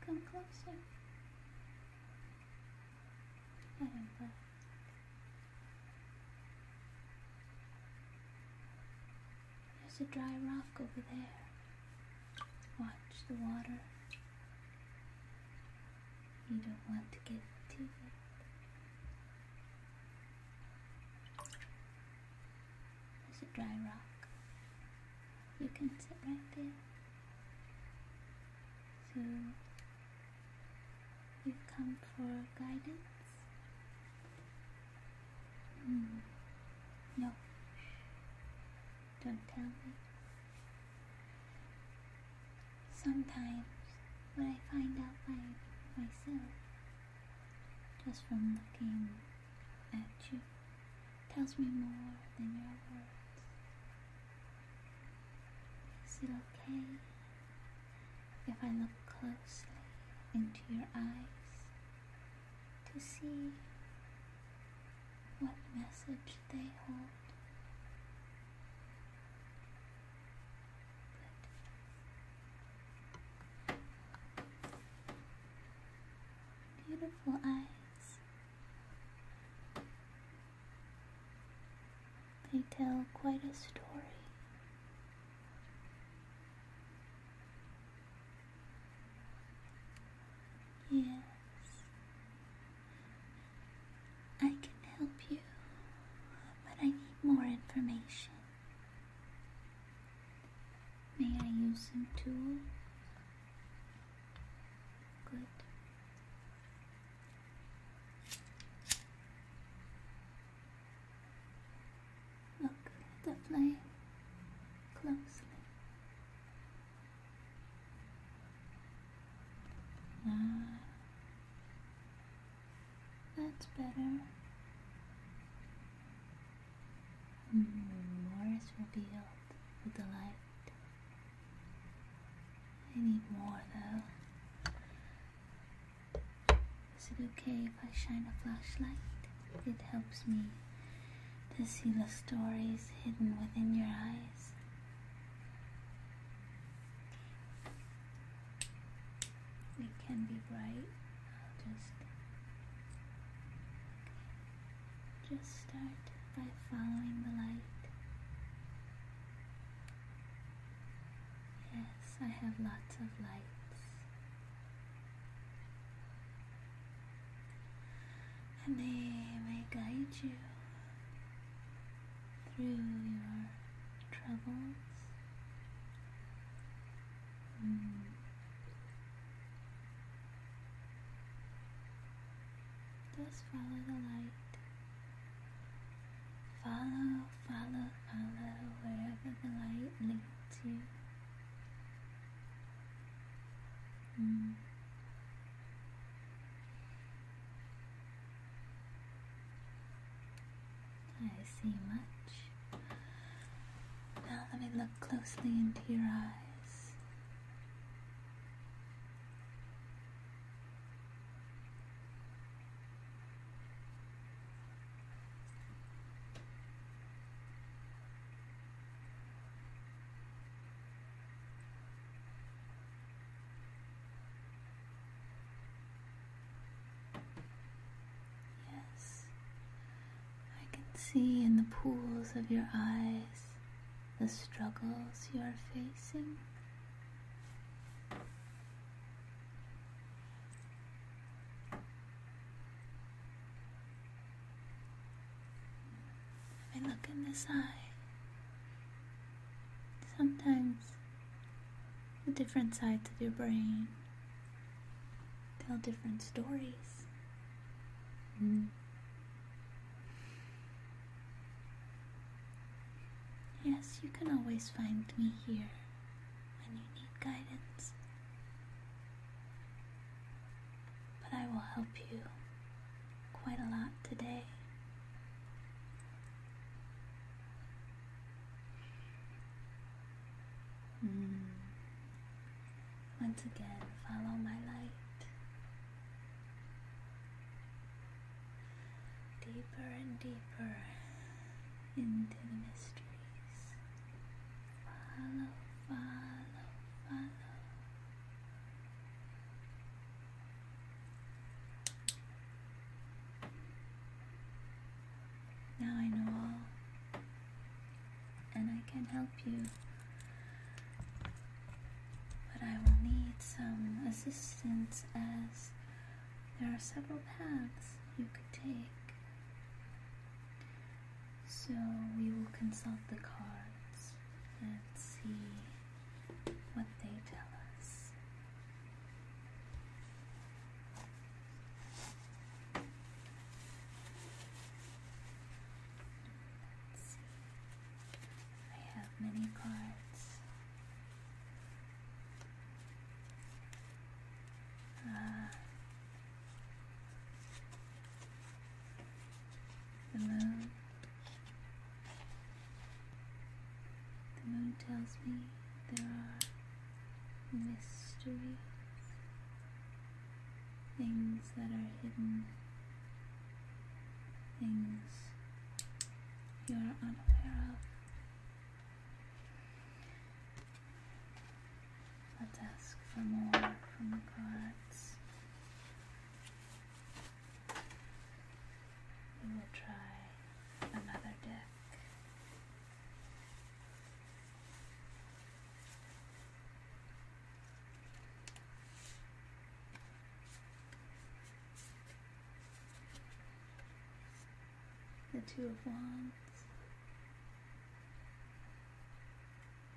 Come closer. There's a dry rock over there. Watch the water. You don't want to get to it. There's a dry rock. You can sit right there. So you come for guidance? Hmm. No. Don't tell me. Sometimes what I find out by myself just from looking at you tells me more than your words. Is it okay if I look closely into your eyes to see what message they hold? Beautiful eyes. They tell quite a story. Yes, I can help you, but I need more information. May I use some tools? Good. Look at the flame closely. Ah, that's better. more is revealed with the light. I need more though. Is it okay if I shine a flashlight? It helps me to see the stories hidden within your eyes. It can be bright. I'll just. Just start by following the light. Yes, I have lots of lights. And they may guide you through your troubles. Hmm. Just follow the light. Follow, follow, follow wherever the light leads you. Mm. I see much. Now let me look closely into your eyes. Yes, I can see in the pools of your eyes the struggles you are facing. I look in this eye, sometimes the different sides of your brain tell different stories. Mm. Yes, you can always find me here when you need guidance. But I will help you quite a lot today. Hmm. Once again, follow my light deeper and deeper into the mysteries. Follow, follow, follow. Now I know all, and I can help you but I will need some assistance as there are several paths you could take. So we will consult the cards and see what they tell us. Let's see. I have many cards. Uh, the moon. The moon tells me there are mysteries, things that are hidden things you are unaware of. Let's ask for more from the cards. We will try another deck the Two of Wands.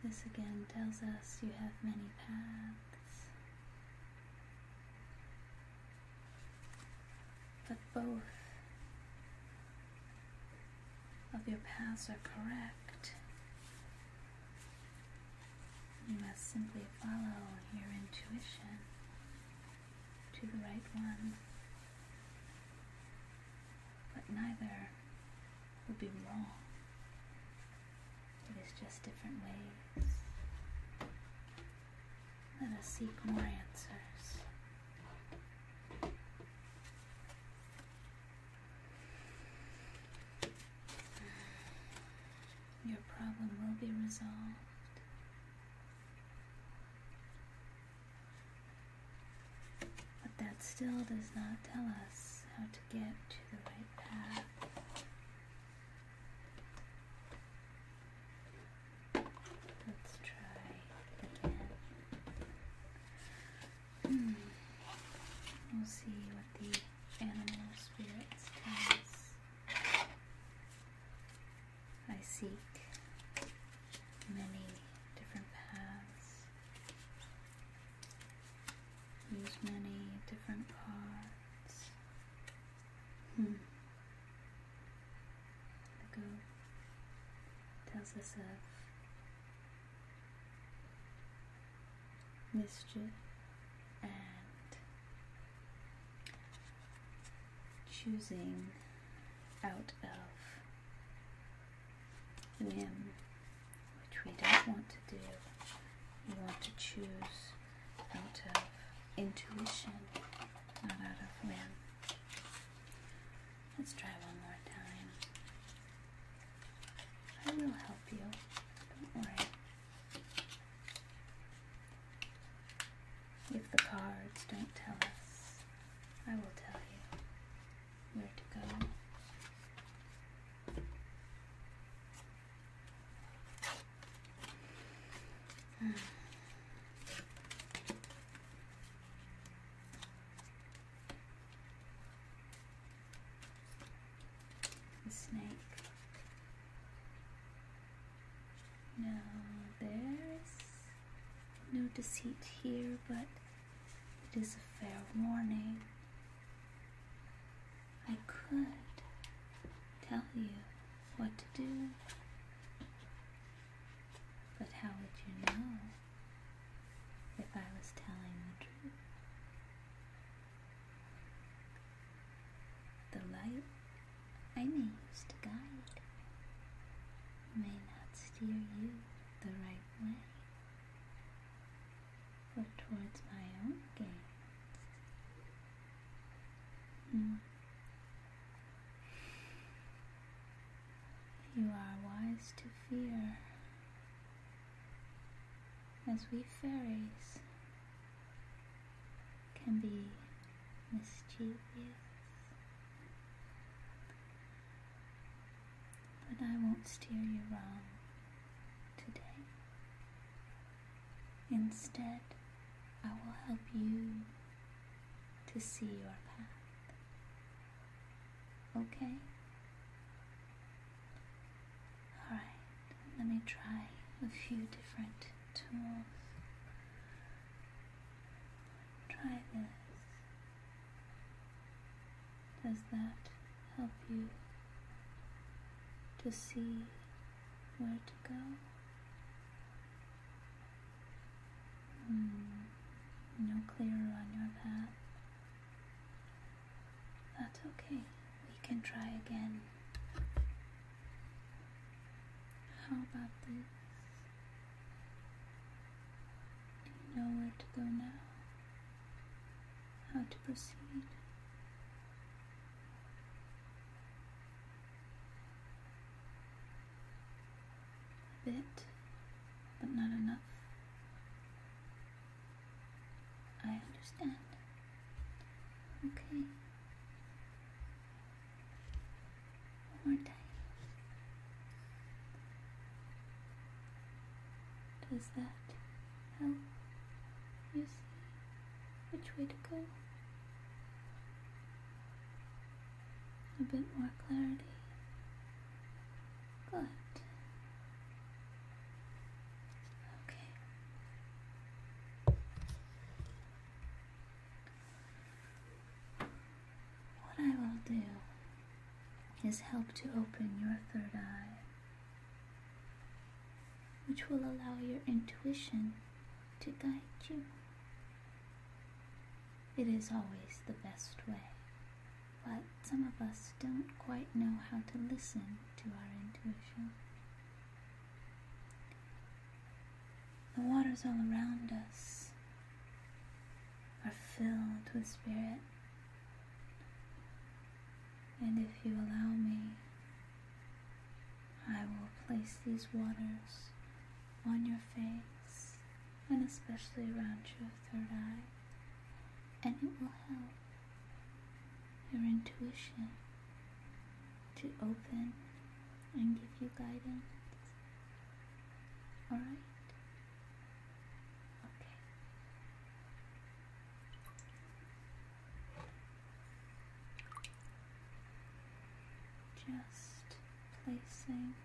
This again tells us you have many paths, but both of your paths are correct. You must simply follow your intuition to the right one, but neither will be wrong. It is just different ways. Let us seek more answers your problem will be resolved. But that still does not tell us how to get to the right path. Let's try again. Hmm. We'll see what the animal spirits tell us. I seek many different paths, use many different cards. Hmm. The go tells us of mischief choosing out of whim, which we don't want to do. We want to choose out of intuition, not out of whim. Let's try one more time. I will help you. Don't worry. If the cards don't tell us, I will tell you where to go. Hmm. The snake now there is no deceit here, but it is a fair warning. I could tell you what to do, but how would you know if I was telling the truth? The light I may use to guide may not steer you the right way, but towards my own gains. Hmm. You are wise to fear as we fairies can be mischievous. But I won't steer you wrong today. Instead, I will help you to see your path. Okay? Alright, let me try a few different tools. Try this. Does that help you to see where to go? Hmm, no clearer on your path. That's okay we can try again. How about this? Do you know where to go now? How to proceed? A bit, but not enough. I understand. Okay. One more time. Does that help you see which way to go? A bit more clarity. Good. Okay. What I will do is help to open your third eye, which will allow your intuition to guide you. It is always the best way, but some of us don't quite know how to listen to our intuition. The waters all around us are filled with spirit. And if you allow me, I will place these waters on your face and especially around your third eye, and it will help your intuition to open and give you guidance. All right. Okay. Just placing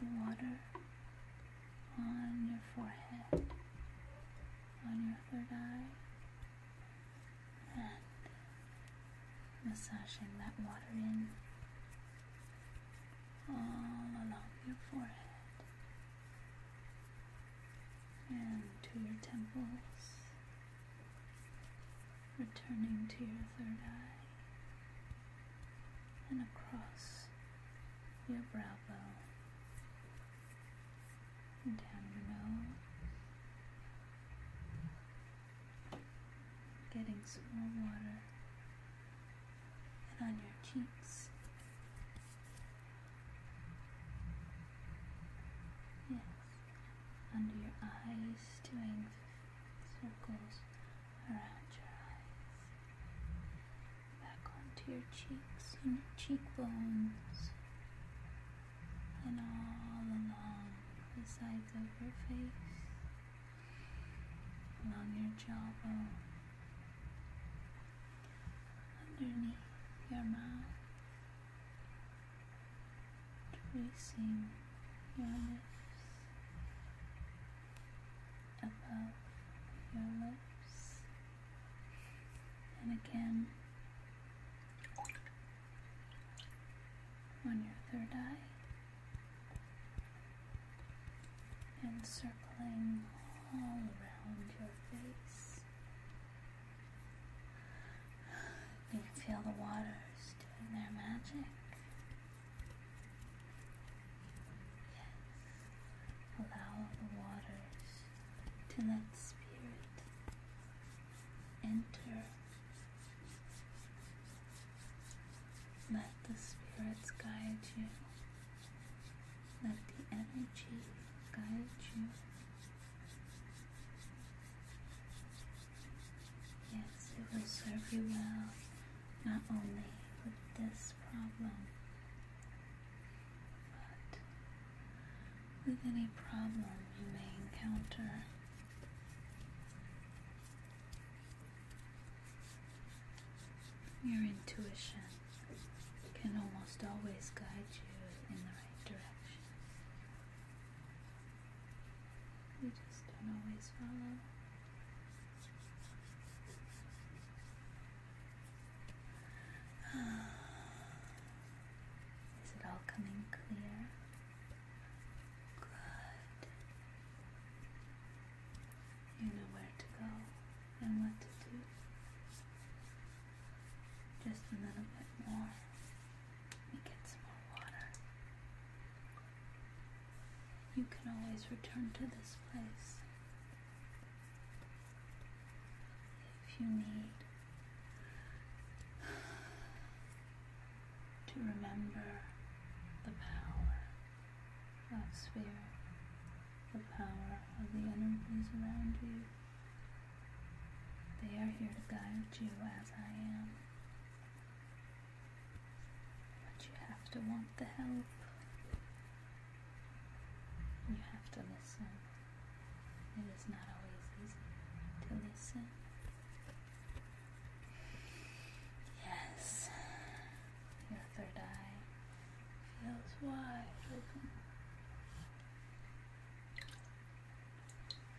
the water on your forehead, on your third eye, and massaging that water in all along your forehead and to your temples, returning to your third eye and across your brow bone down your nose, getting some more water, and on your cheeks. Yes, under your eyes, doing circles around your eyes, back onto your cheeks, and your cheekbones and all along the sides of your face, along your jawbone, underneath your mouth, tracing your lips, above your lips, and again on your third eye and circling all around your face. You can feel the waters doing their magic. Yes, allow the waters to let the spirit enter. Let the spirits guide you. Let the energy guide you. Yes, it will serve you well, not only with this problem, but with any problem you may encounter. Your intuition can almost always guide you in the right direction. You just don't always follow. Ah. Is it all coming clear? Good. You know where to go and what to do. Just a little bit more. Let get some more water. You can always return to this place if you need to remember the power of spirit, the power of the energies around you. They are here to guide you as I am. But you have to want the help. You have to listen. It is not always easy to listen. Yes, your third eye feels wide open.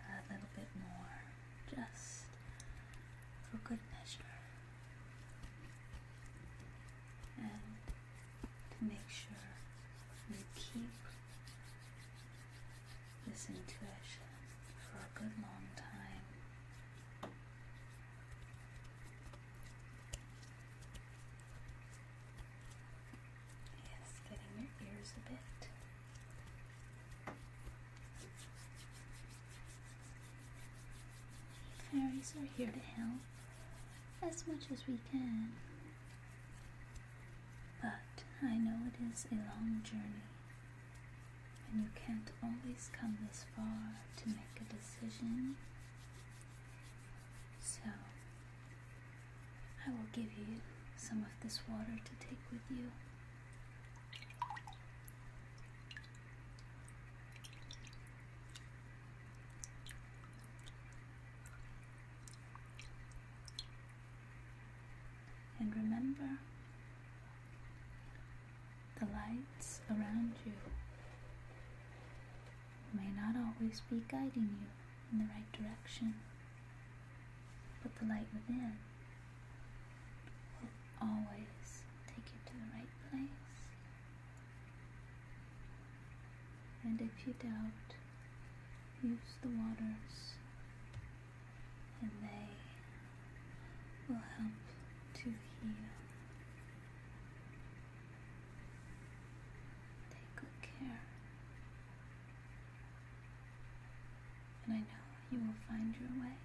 A little bit more, just for good measure. And to make sure we keep this intuition for a good long time. Yes, getting your ears a bit. Fairies are here to help as much as we can. But I know it is a long journey, and you can't always come this far to make a decision. So, I will give you some of this water to take with you. And remember, the lights around you may not always be guiding you in the right direction, but the light within will always take you to the right place. And if you doubt, use the waters and they will help to heal. Take good care. And I know you will find your way.